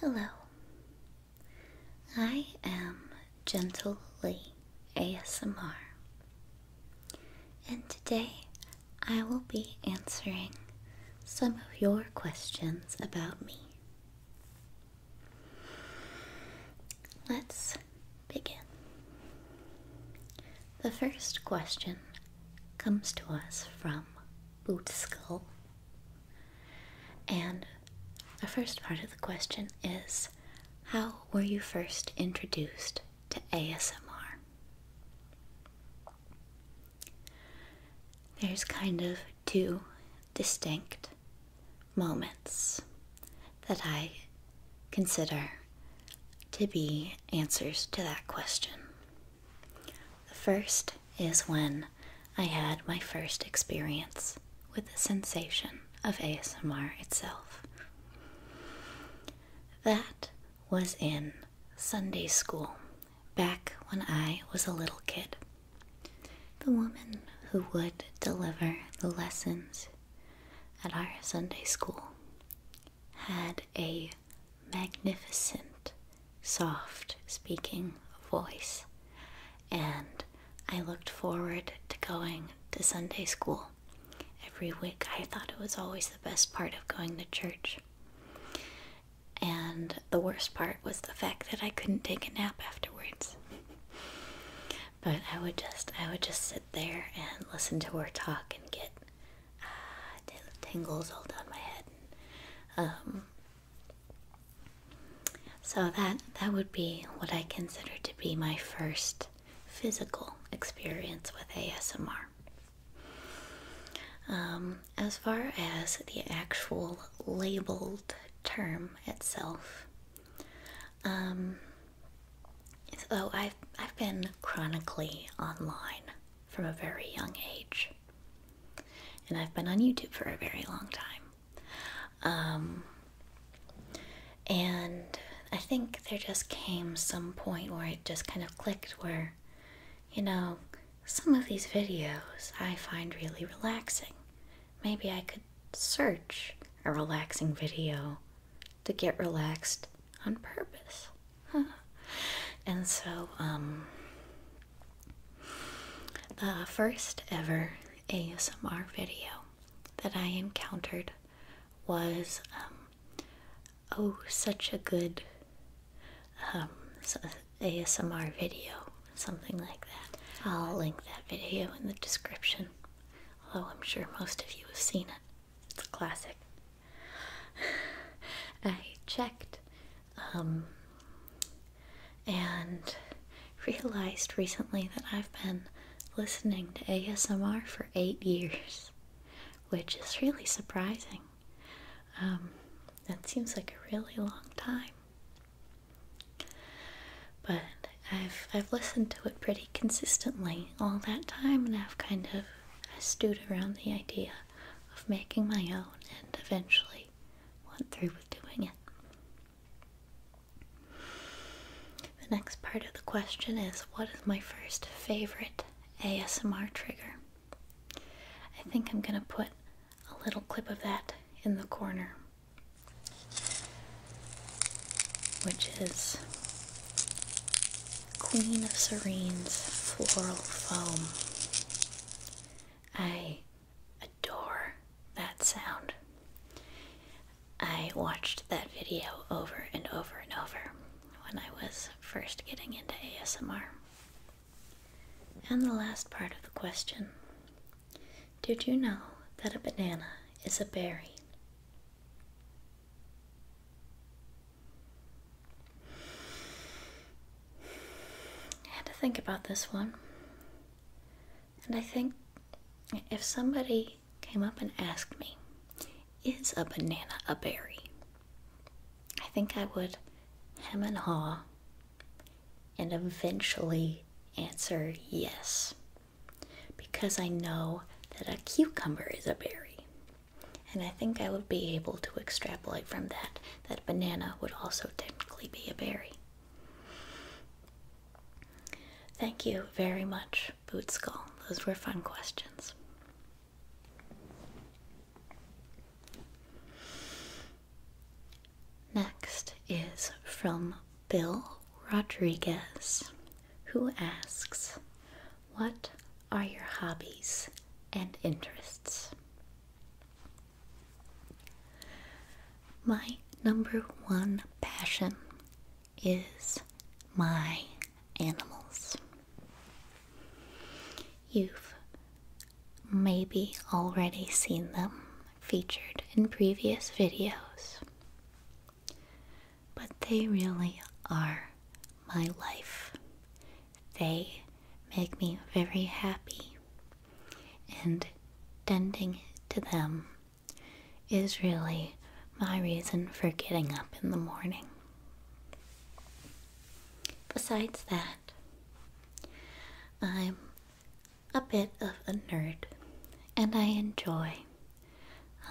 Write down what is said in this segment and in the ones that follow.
Hello. I am Gentle Lee ASMR, and today I will be answering some of your questions about me. Let's begin. The first question comes to us from Boot Skull and the first part of the question is How were you first introduced to ASMR? There's kind of two distinct moments that I consider to be answers to that question. The first is when I had my first experience with the sensation of ASMR itself. That was in Sunday school back when I was a little kid. The woman who would deliver the lessons at our Sunday school had a magnificent, soft speaking voice, and I looked forward to going to Sunday school every week. I thought it was always the best part of going to church. And the worst part was the fact that I couldn't take a nap afterwards. but I would just I would just sit there and listen to her talk and get uh, tingles all down my head. um, so that that would be what I consider to be my first physical experience with ASMR. Um, as far as the actual labeled term itself, um, so I've I've been chronically online from a very young age. And I've been on YouTube for a very long time. Um, and I think there just came some point where it just kind of clicked where, you know, some of these videos I find really relaxing. Maybe I could search a relaxing video to get relaxed on purpose. and so, um, the first ever ASMR video that I encountered was um, oh, such a good um, ASMR video, something like that. I'll link that video in the description, although I'm sure most of you have seen it. It's a classic. I checked um, and realized recently that I've been listening to ASMR for eight years, which is really surprising. Um, that seems like a really long time. But I've I've listened to it pretty consistently all that time, and I've kind of stewed around the idea of making my own, and eventually went through with doing it. The next part of the question is What is my first favorite ASMR trigger? I think I'm going to put a little clip of that in the corner, which is Queen of Serene's Floral Foam. I adore that sound. I watched that video over and over and over when I was first getting into ASMR. And the last part of the question Did you know that a banana is a berry? I had to think about this one. And I think if somebody came up and asked me, is a banana a berry? I think I would hem and haw and eventually answer yes. Because I know that a cucumber is a berry. And I think I would be able to extrapolate from that that banana would also technically be a berry. Thank you very much, Bootskull. Those were fun questions. Next is from Bill Rodriguez, who asks, What are your hobbies and interests? My number one passion is my animals. You've maybe already seen them featured in previous videos, but they really are my life they make me very happy. And tending to them is really my reason for getting up in the morning. Besides that, I'm a bit of a nerd and I enjoy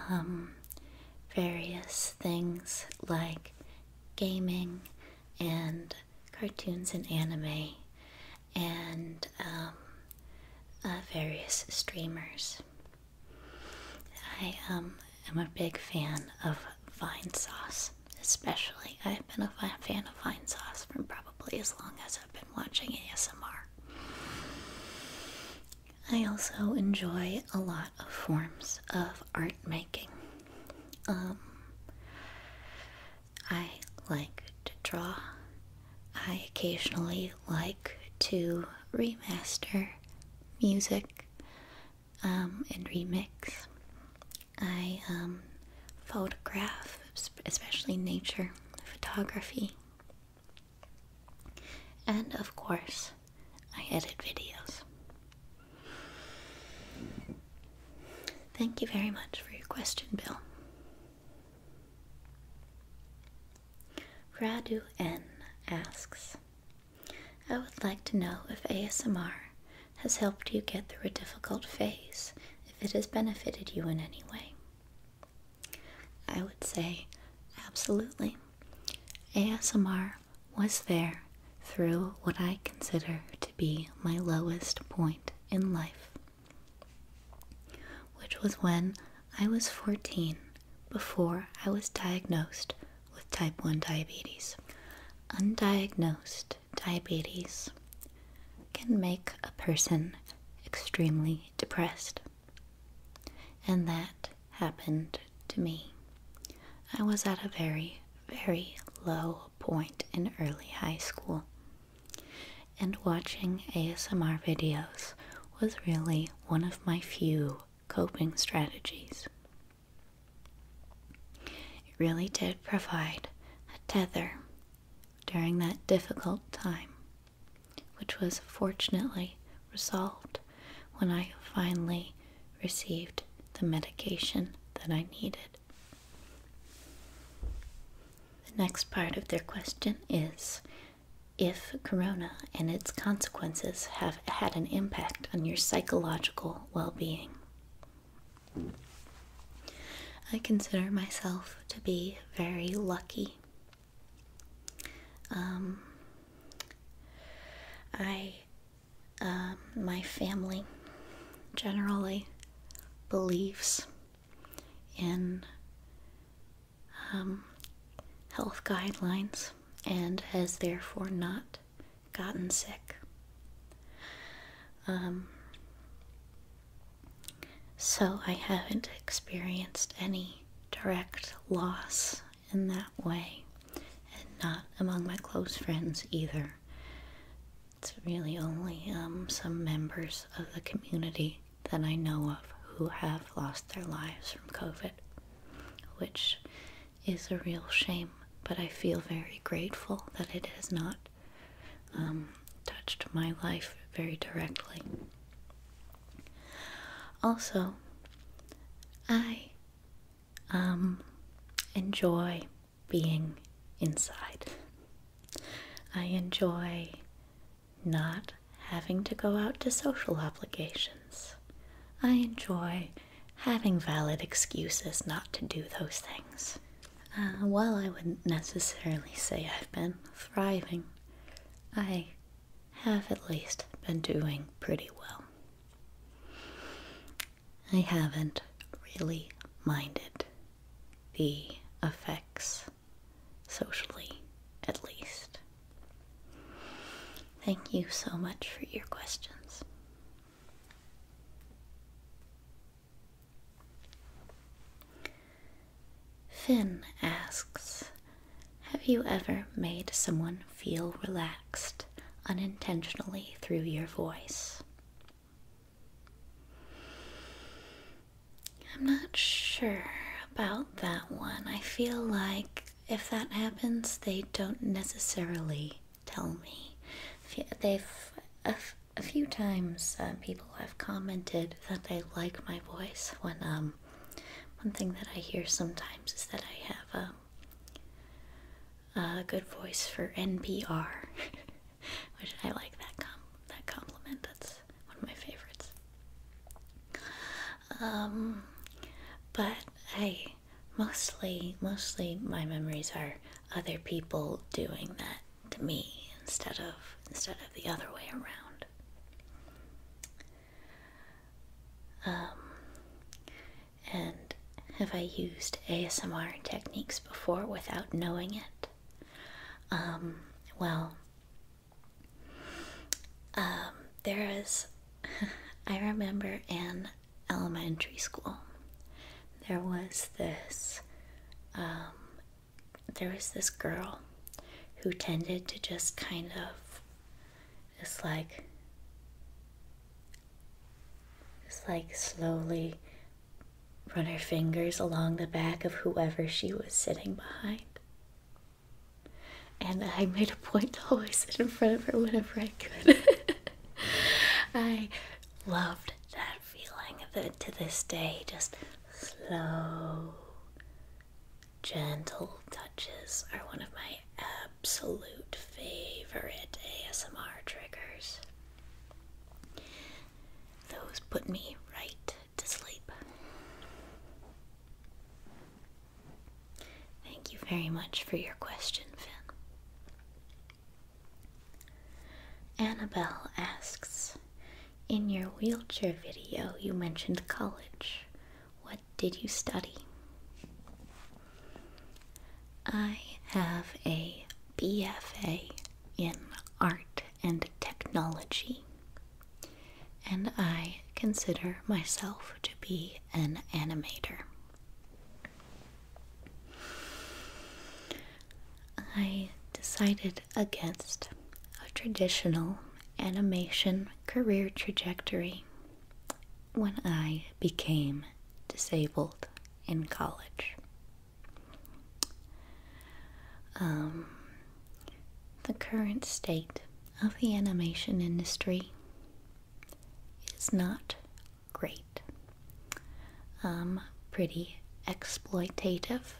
um, various things like gaming and cartoons and anime and um, uh, various streamers. I um, am a big fan of Vine Sauce, especially. I've been a fan of Vine Sauce for probably as long as I've been watching ASMR. I also enjoy a lot of forms of art making. Um, I like to draw. I occasionally like to remaster music um, and remix. I um, photograph, especially nature photography. And of course, I edit videos. Thank you very much for your question, Bill. Radu N asks, I would like to know if ASMR has helped you get through a difficult phase, if it has benefited you in any way. I would say absolutely. ASMR was there through what I consider to be my lowest point in life, which was when I was 14 before I was diagnosed with type 1 diabetes. Undiagnosed diabetes can make a person extremely depressed, and that happened to me. I was at a very, very low point in early high school. And watching ASMR videos was really one of my few coping strategies. It really did provide a tether during that difficult time, which was fortunately resolved when I finally received the medication that I needed. The next part of their question is if corona and its consequences have had an impact on your psychological well being. I consider myself to be very lucky. Um, I um, my family generally believes in um, health guidelines and has therefore not gotten sick. Um, so I haven't experienced any direct loss in that way, and not among my close friends either. It's really only um, some members of the community that I know of who have lost their lives from COVID, which is a real shame, but I feel very grateful that it has not um, touched my life very directly. Also, I um, enjoy being inside. I enjoy not having to go out to social obligations. I enjoy having valid excuses not to do those things. Uh, while I wouldn't necessarily say I've been thriving, I have at least been doing pretty well. I haven't really minded the effects, socially at least. Thank you so much for your questions. Finn asks Have you ever made someone feel relaxed unintentionally through your voice? I'm not sure about that one. I feel like if that happens, they don't necessarily tell me. They've a, few times uh, people have commented that they like my voice. When um, one thing that I hear sometimes is that I have a um, a good voice for NPR, which I like that com that compliment. That's one of my favorites. Um, but I mostly mostly my memories are other people doing that to me instead of instead of the other way around. Um, and have I used ASMR techniques before without knowing it? Um, well, um, there is, I remember in elementary school, there was this, um, there was this girl who tended to just kind of, just like, just like slowly run her fingers along the back of whoever she was sitting behind. And I made a point to always sit in front of her whenever I could. I loved that feeling that to this day, just slow, gentle touches are one of my absolute favorite ASMR triggers. Those put me right to sleep. Thank you very much for your question, Finn. Annabelle asks In your wheelchair video, you mentioned college. What did you study? I have a BFA in art and technology, and I consider myself to be an animator. I decided against a traditional animation career trajectory when I became disabled in college. Um, the current state of the animation industry is not great. Um, pretty exploitative.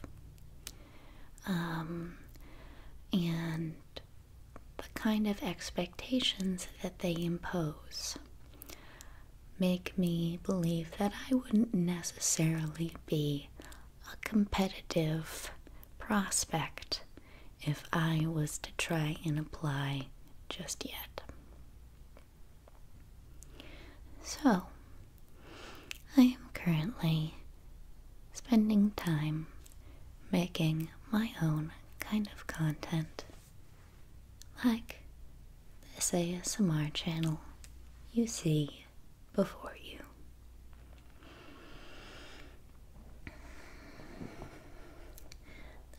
Um, and the kind of expectations that they impose make me believe that I wouldn't necessarily be a competitive prospect if I was to try and apply just yet. So, I am currently spending time making my own kind of content like this ASMR channel you see before you.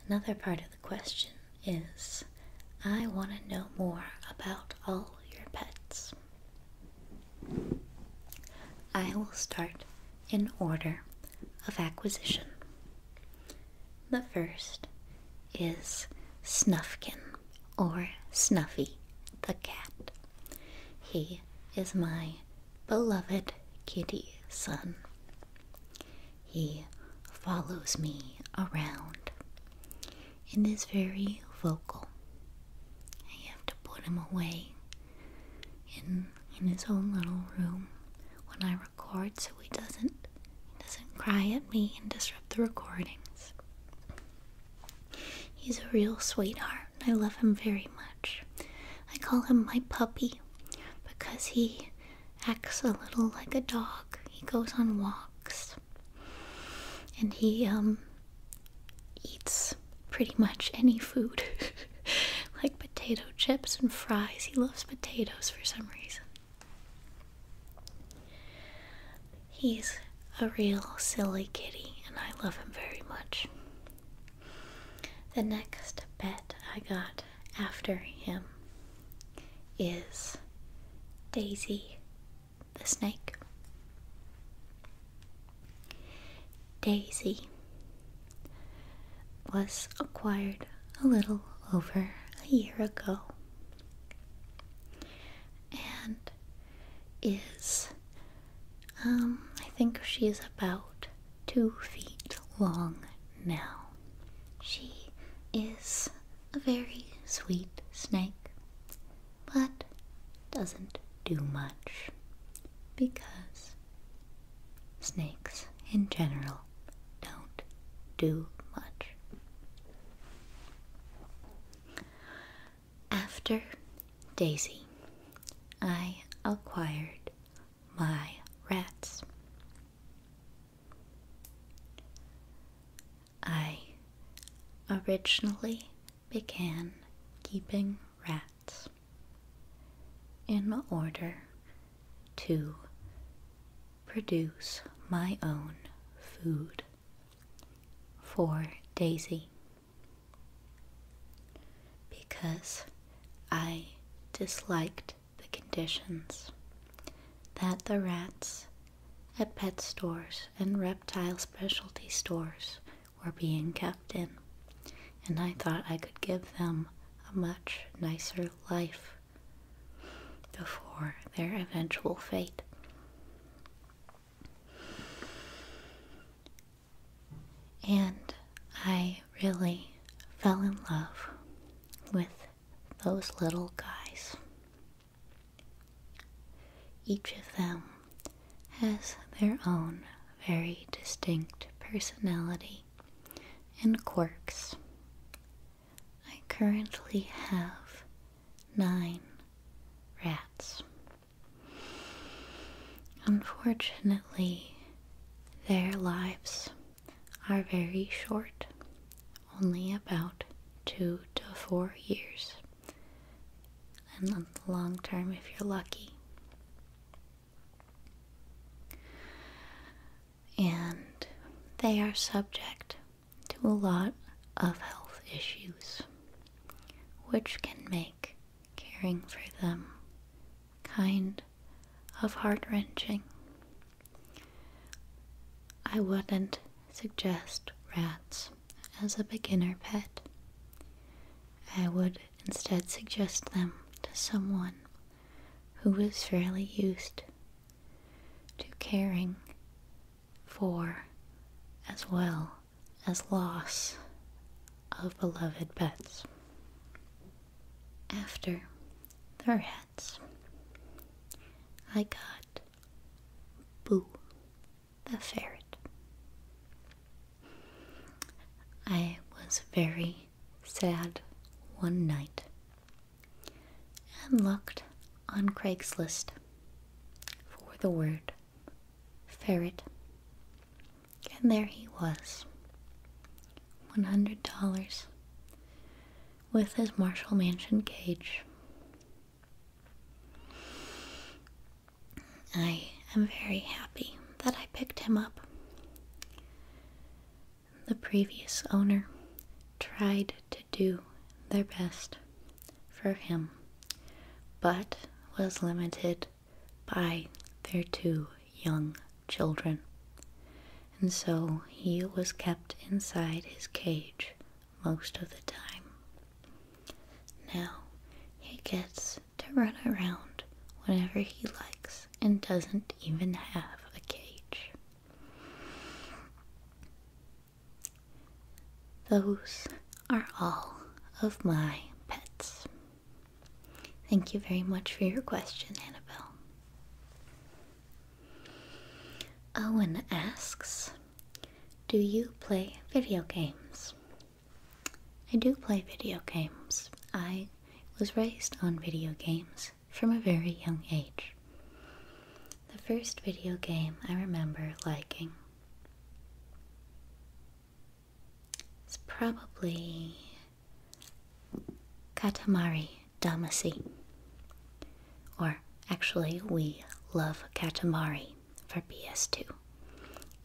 Another part of the question is I want to know more about all your pets. I will start in order of acquisition. The first is Snufkin or Snuffy the cat. He is my beloved kitty son. He follows me around and is very vocal. I have to put him away in in his own little room when I record so he doesn't he doesn't cry at me and disrupt the recordings. He's a real sweetheart. I love him very much. I call him my puppy because he acts a little like a dog. He goes on walks and he um eats pretty much any food like potato chips and fries. He loves potatoes for some reason. He's a real silly kitty, and I love him very much. The next bet I got after him is Daisy the snake. Daisy was acquired a little over a year ago and is, um, I think she is about two feet long now. She is a very sweet snake, but doesn't do much because snakes in general don't do much. After Daisy, I acquired my rats. I originally began keeping rats in order to produce my own food for Daisy because I disliked the conditions that the rats at pet stores and reptile specialty stores were being kept in, and I thought I could give them a much nicer life before their eventual fate. And I really fell in love with those little guys. Each of them has their own very distinct personality and quirks I currently have nine rats. Unfortunately, their lives are very short, only about two to four years, and on the long term, if you're lucky. And they are subject to a lot of health issues, which can make caring for them kind of heart wrenching. I wouldn't suggest rats as a beginner pet. I would instead suggest them to someone who is fairly used to caring for as well as loss of beloved pets. After their heads, I got Boo the ferret. I was very sad one night and looked on Craigslist for the word ferret. And there he was, $100 with his Marshall Mansion cage. I am very happy that I picked him up. The previous owner tried to do their best for him, but was limited by their two young children. And so he was kept inside his cage most of the time. Now he gets to run around whenever he likes and doesn't even have a cage. Those are all of my pets. Thank you very much for your question, Annabelle. Owen asks, Do you play video games? I do play video games. I was raised on video games from a very young age the first video game I remember liking. is probably Katamari Damacy. Or actually, we love Katamari for PS2.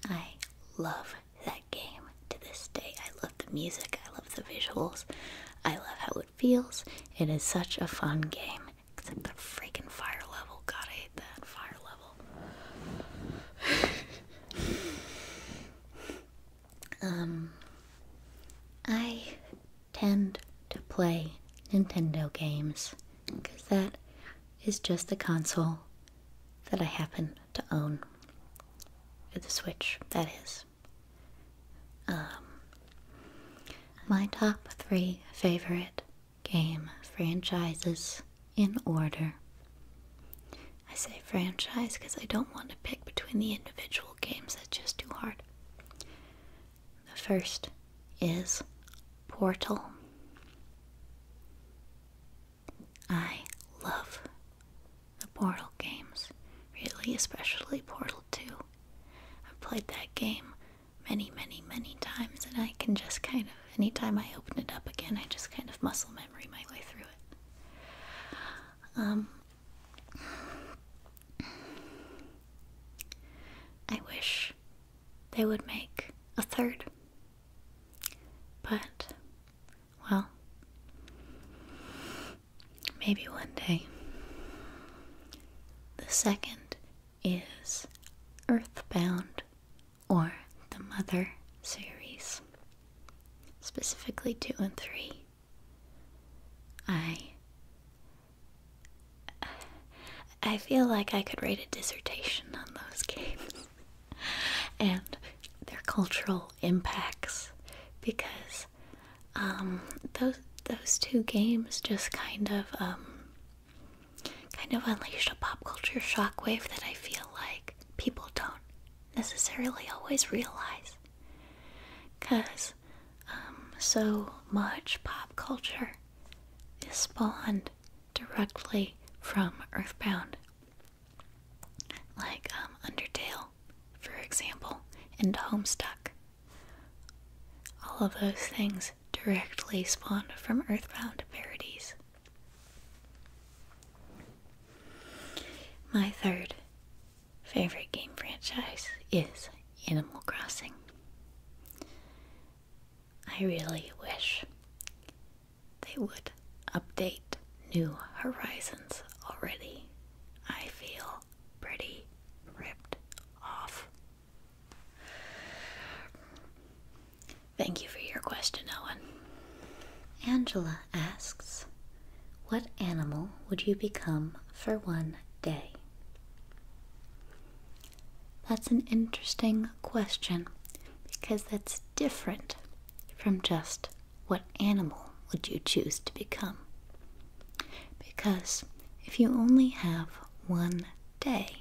I love that game to this day. I love the music, I love the visuals, I love how it feels. It is such a fun game. Except the freaking fire level. God, I hate that fire level. um, I tend to play Nintendo games because that is just the console that I happen to own. The Switch, that is. Um, my top three favorite game franchises in order. I say franchise because I don't want to pick between the individual games, that's just too hard. The first is Portal. I love the Portal games, really, especially Portal 2. I've played that game many, many, many times, and I can just kind of, anytime I open it up again, I just kind of muscle memory my way through it. Um, I wish they would make a third, but well, maybe one day. The second is Earthbound or the Mother series, specifically 2 and 3. I. I feel like I could write a dissertation on those games and their cultural impacts because um, those those two games just kind of um, kind of unleashed a pop culture shockwave that I feel like people don't necessarily always realize. Because um, so much pop culture is spawned directly from Earthbound. Like um, Undertale, for example, and Homestuck. All of those things directly spawned from earthbound parodies. My third favorite game franchise is Animal Crossing. I really wish they would update New Horizons already. I feel pretty ripped off Thank you for your question, Owen. Angela asks, What animal would you become for one day? That's an interesting question because that's different from just what animal would you choose to become. Because if you only have one day,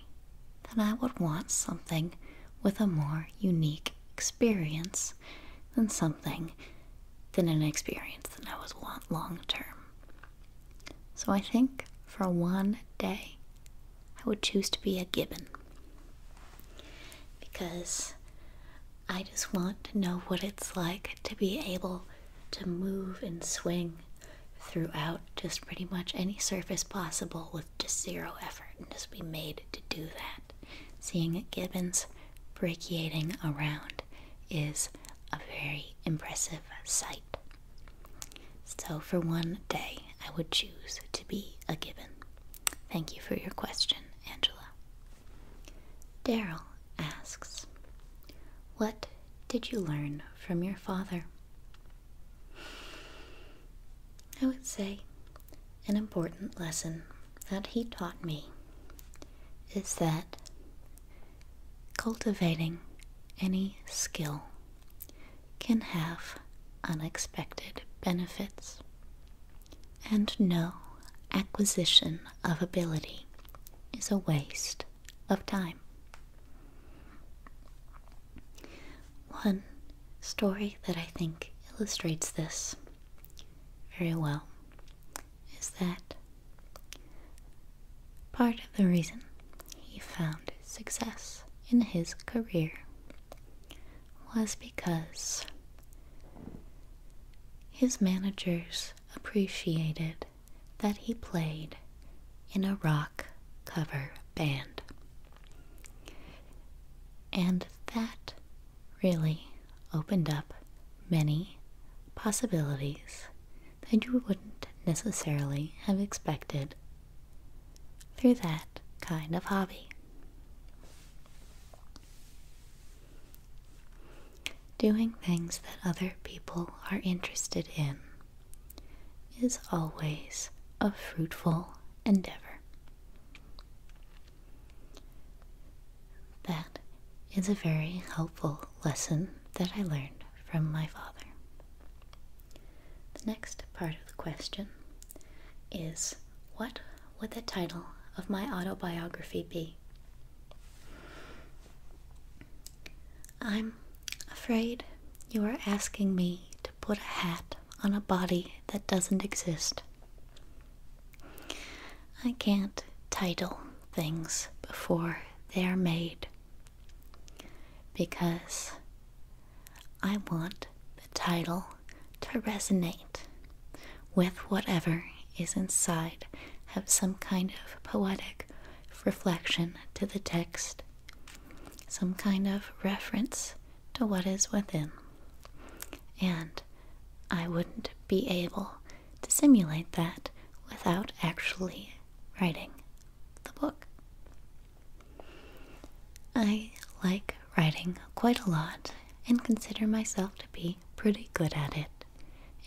then I would want something with a more unique experience than something than an experience that I would want long term. So I think for one day, I would choose to be a gibbon because I just want to know what it's like to be able to move and swing throughout just pretty much any surface possible with just zero effort and just be made to do that. Seeing a gibbons brachiating around is a very impressive sight. So, for one day, I would choose to be a gibbon. Thank you for your question, Angela. Daryl asks, What did you learn from your father? I would say an important lesson that he taught me is that cultivating any skill can have unexpected benefits, and no acquisition of ability is a waste of time. One story that I think illustrates this very well is that part of the reason he found success in his career was because his managers appreciated that he played in a rock cover band. And that really opened up many possibilities that you wouldn't necessarily have expected through that kind of hobby. Doing things that other people are interested in is always a fruitful endeavor. That is a very helpful lesson that I learned from my father. The next part of the question is What would the title of my autobiography be? I'm afraid you are asking me to put a hat on a body that doesn't exist. I can't title things before they are made because I want the title to resonate with whatever is inside, have some kind of poetic reflection to the text, some kind of reference to what is within. And I wouldn't be able to simulate that without actually writing the book. I like writing quite a lot and consider myself to be pretty good at it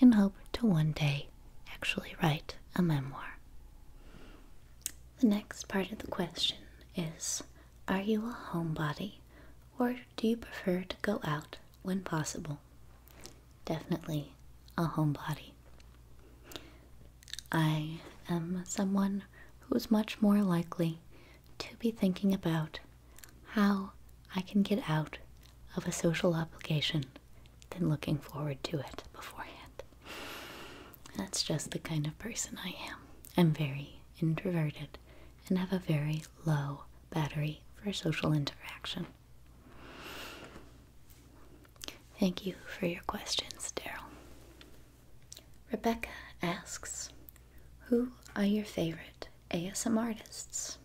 and hope to one day actually write a memoir. The next part of the question is Are you a homebody or do you prefer to go out when possible? Definitely a homebody. I am someone who is much more likely to be thinking about how I can get out of a social obligation than looking forward to it beforehand. That's just the kind of person I am. I'm very introverted and have a very low battery for social interaction. Thank you for your questions, Daryl. Rebecca asks, Who are your favorite ASM artists?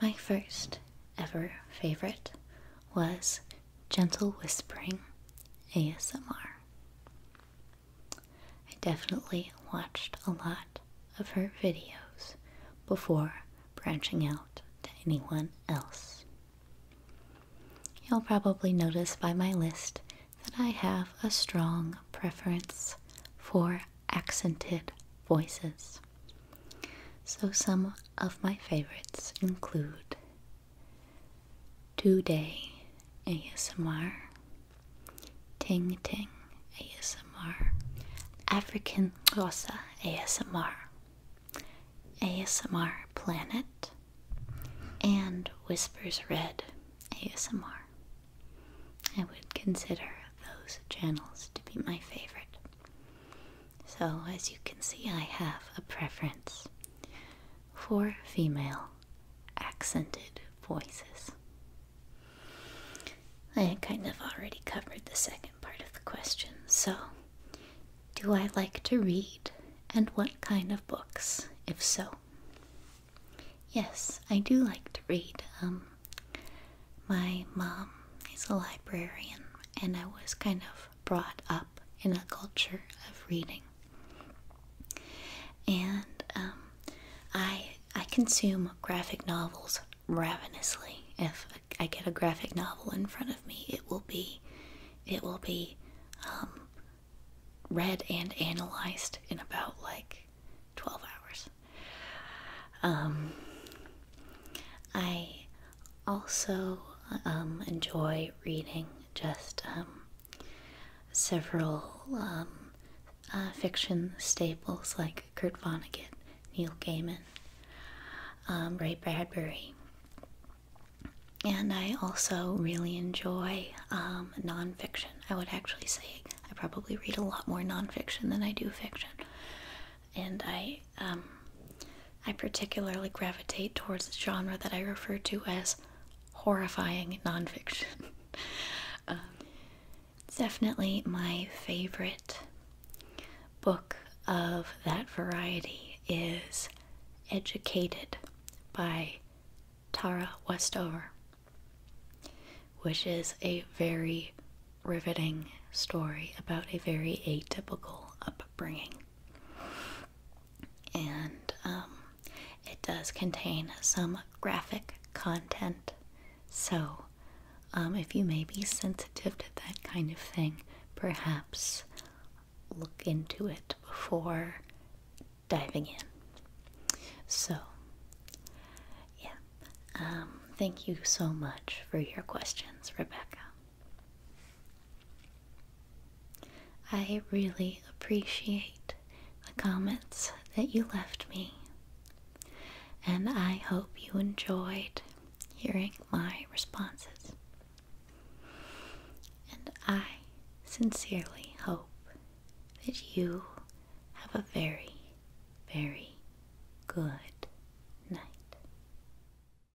My first ever favorite was gentle whispering ASMR. I definitely watched a lot of her videos before branching out to anyone else. You'll probably notice by my list that I have a strong preference for accented voices. So, some of my favorites include Two Day ASMR, Ting Ting ASMR, African Rosa ASMR, ASMR Planet, and Whispers Red ASMR. I would consider those channels to be my favorite. So, as you can see, I have a preference for female accented voices. I kind of already covered the second part of the question, so do I like to read and what kind of books, if so? Yes, I do like to read. Um, my mom is a librarian, and I was kind of brought up in a culture of reading. And um, I I consume graphic novels ravenously. If I get a graphic novel in front of me, it will be it will be um, read and analyzed in about like 12 hours. Um, I also um, enjoy reading just um, several um, uh, fiction staples like Kurt Vonnegut, Neil Gaiman, Ray Bradbury. And I also really enjoy nonfiction. I would actually say I probably read a lot more nonfiction than I do fiction. And I um, I particularly gravitate towards the genre that I refer to as horrifying nonfiction. um, definitely my favorite book of that variety is Educated by Tara Westover, which is a very riveting story about a very atypical upbringing and um, it does contain some graphic content. So, um, if you may be sensitive to that kind of thing, perhaps look into it before diving in. So, yeah. Um, thank you so much for your questions, Rebecca. I really appreciate the comments that you left me, and I hope you enjoyed hearing my responses. And I sincerely hope that you have a very, very good night.